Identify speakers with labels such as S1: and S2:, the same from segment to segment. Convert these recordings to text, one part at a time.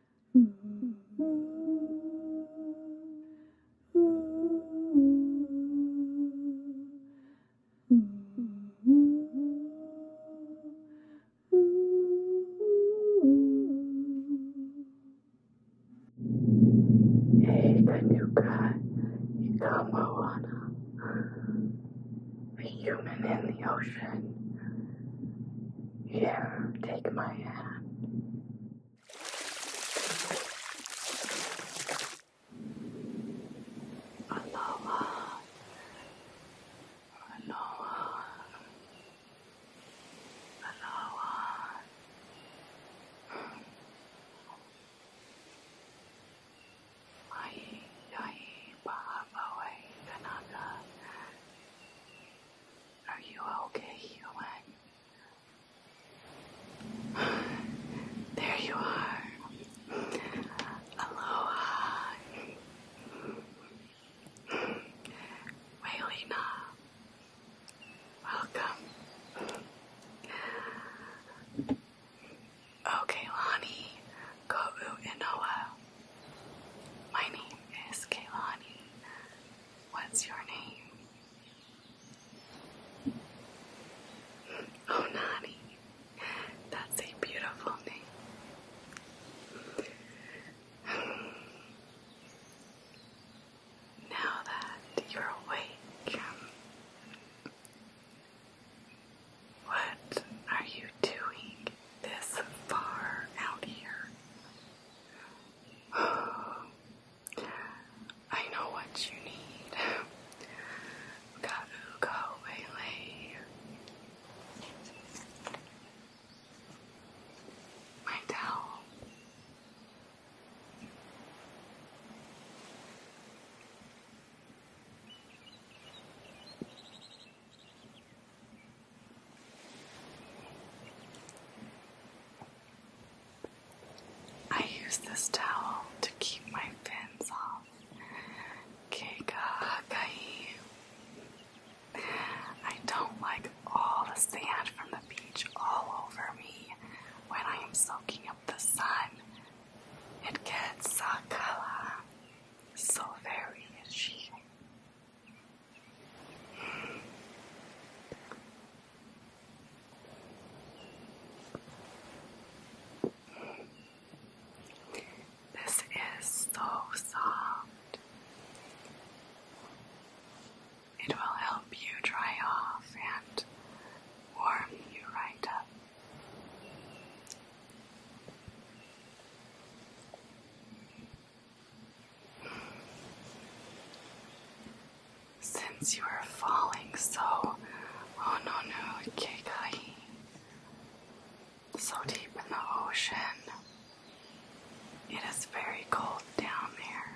S1: Hey, Kanuka Ika Moana, a human in the ocean, yeah, take my hand.
S2: Aloha. Aloha. Aloha. Ai, ai, paha, pawe, kanaka. Are you okay, human? There you are. Aloha. Wailina. Welcome. Okay, Lani, Ko'u Inoa. My name is Kaylani. What's your name? Oh, Nani. That's a beautiful name. Now that you're awake, what are you doing this far out here? I know what you need. Gotta go, Bailey. My towel. I use this towel to keep my fins off. I don't like all the sand from the beach all over me when I am soaking up the sun. It gets sakala so very itchy. This is so soft. It will help you dry off and warm you right up. Since you are falling so ononu oh, kekai, so deep in the ocean, it is very cold down there.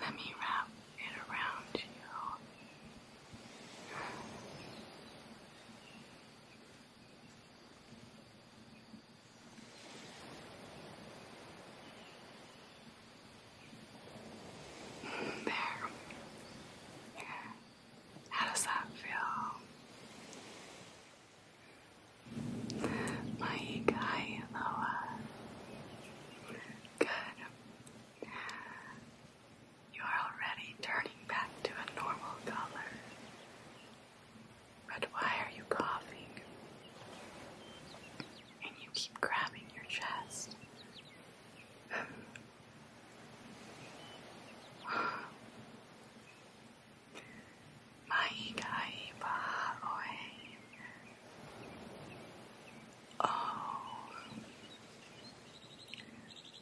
S2: Let me wrap it around you. There. How does that feel? My guy, Loa. Good. You are already turning back to a normal color. But why are you coughing? And you keep grabbing your chest. Oh,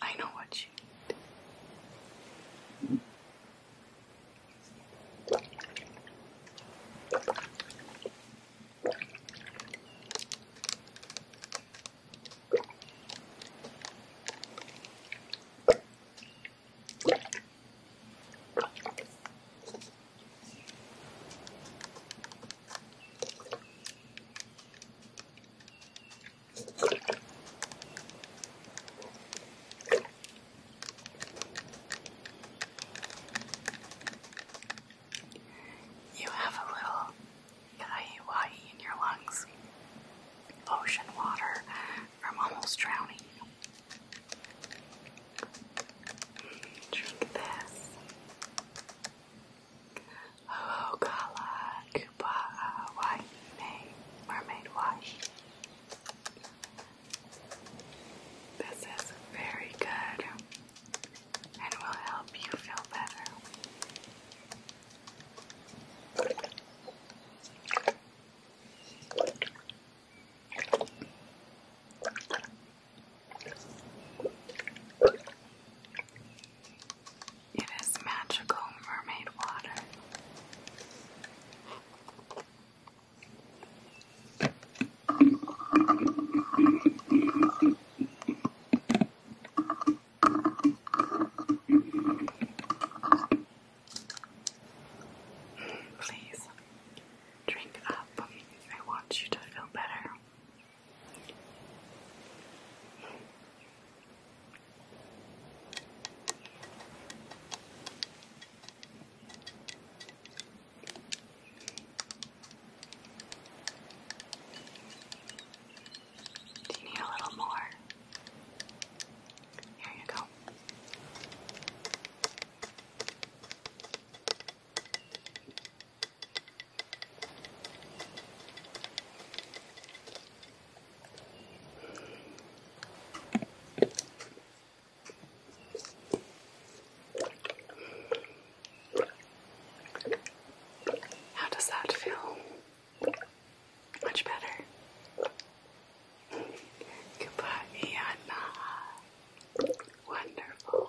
S2: I know what you need. You have a little kaiwai in your lungs. Ocean water from almost drowning. Mm, drink this. Hohokala Kupa'a Waihine Mermaid Wash. This is very good and will help you feel better. It is magical mermaid water.
S1: Please drink up. I want
S2: you feel better. Do you need a little more? Here you go. How does that feel? Much better. Goodbye, Anna. Wonderful.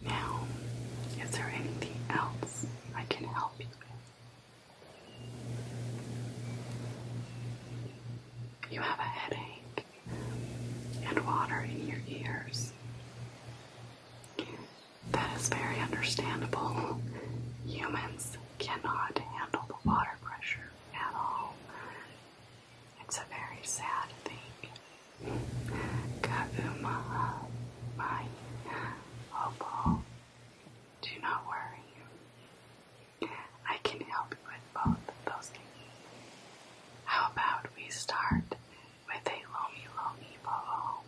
S2: Now, is there anything else I can help you with? You have a headache and water in your ears. That is very understandable. Humans cannot handle the water pressure at all. It's a very sad thing. Kaumaha, my hobo. Do not worry. I can help you with both of those things. How about we start with a lomi lomi boho?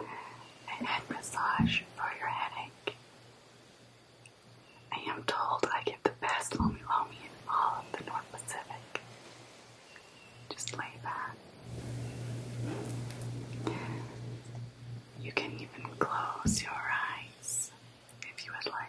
S2: A massage for your headache. I am told I get the best lomi lomi in all of the North Pacific. Just lay back. You can even close your eyes if you would like.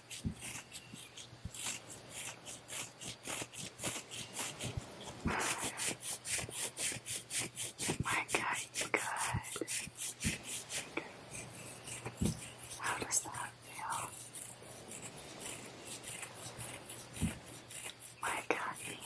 S1: My God, you good. How does that feel? My God, good.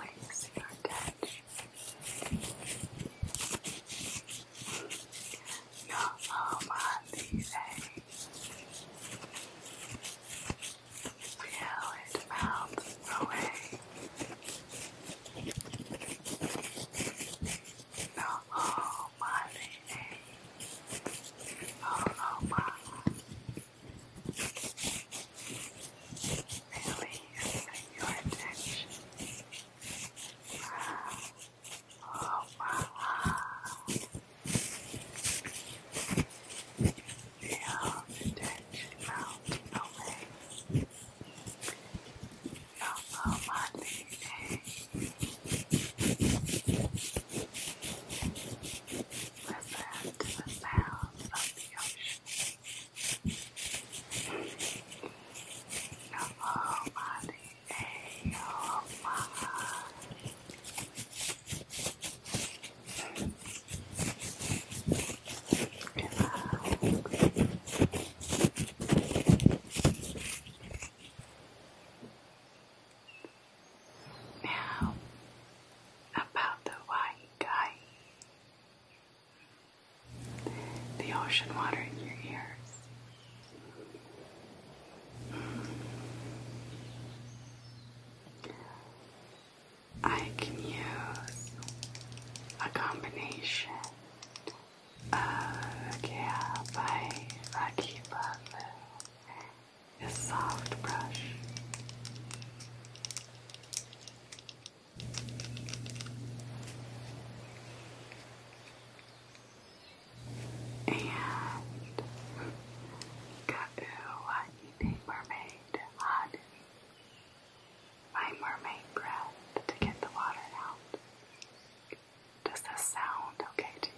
S1: Release your touch. Your whole body aches. Feel melt away. Your whole body aches all over release your attention from over feel the tension melt away from over Listen to the sounds of the ocean. Your whole body and your whole mind. Relax. Now,
S2: about the Waigai. The ocean water in your ears. I can use a combination Overcare by Rocky Butler is Soft Brush. And Ka'u Wahine Mermaid Hadi. My mermaid breath to get the water out. Does that sound okay to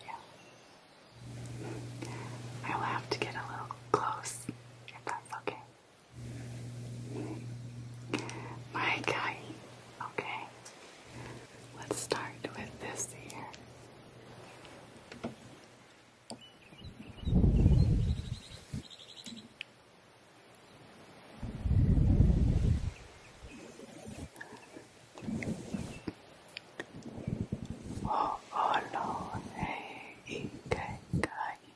S2: you? I will have to get a little close if that's okay. My guy, okay. Let's start with this here.
S1: 언론에 이끌까지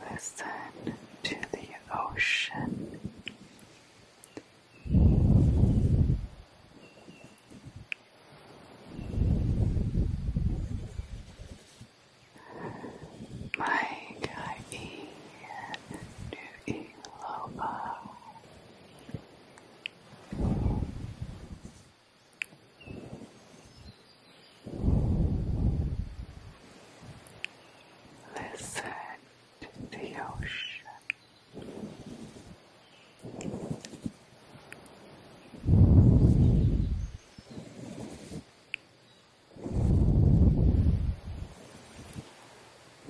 S1: Listen to the ocean. Maikai Nuiloa Listen to the ocean.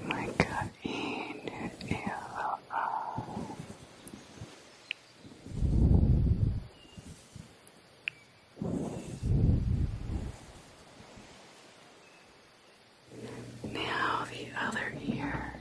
S1: My God, in the
S2: now the other ear.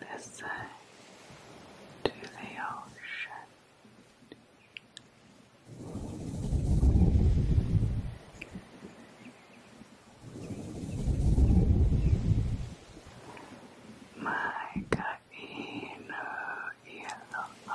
S2: this side to the ocean. My Kaino Yellow.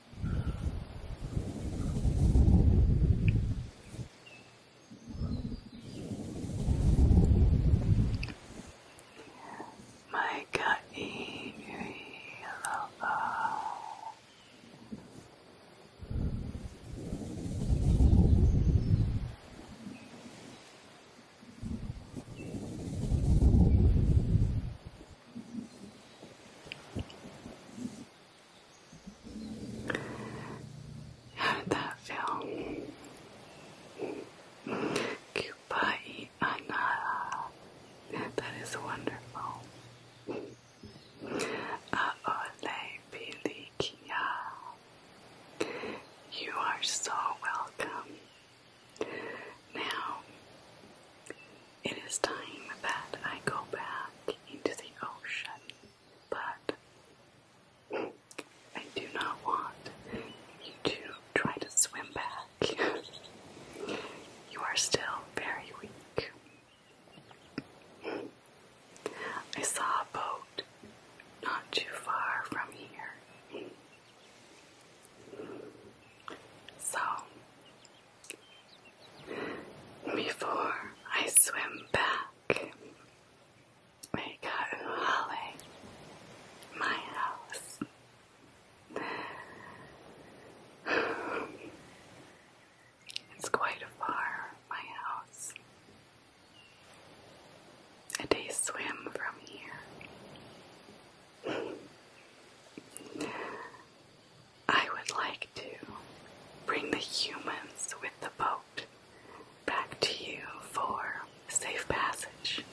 S1: Micah Inui Lover.
S2: How did that feel? Kupai anara. That is wonderful. Aole pilikia. You are so welcome. Now, it is time that I go back into the ocean, but I do not want you to try to swim back. you are still very weak. I saw a boat not too far from here. So, before I swim back, I got Uhale, my house. It's quite far, my house. A day swim from here. I would like to bring the humans with the boat back to you for safe passage,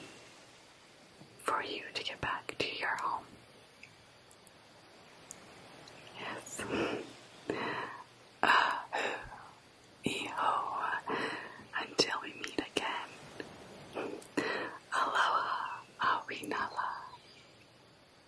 S2: for you to get back to your home. Yes. Uh, Eho, until we meet again. Aloha, awinala.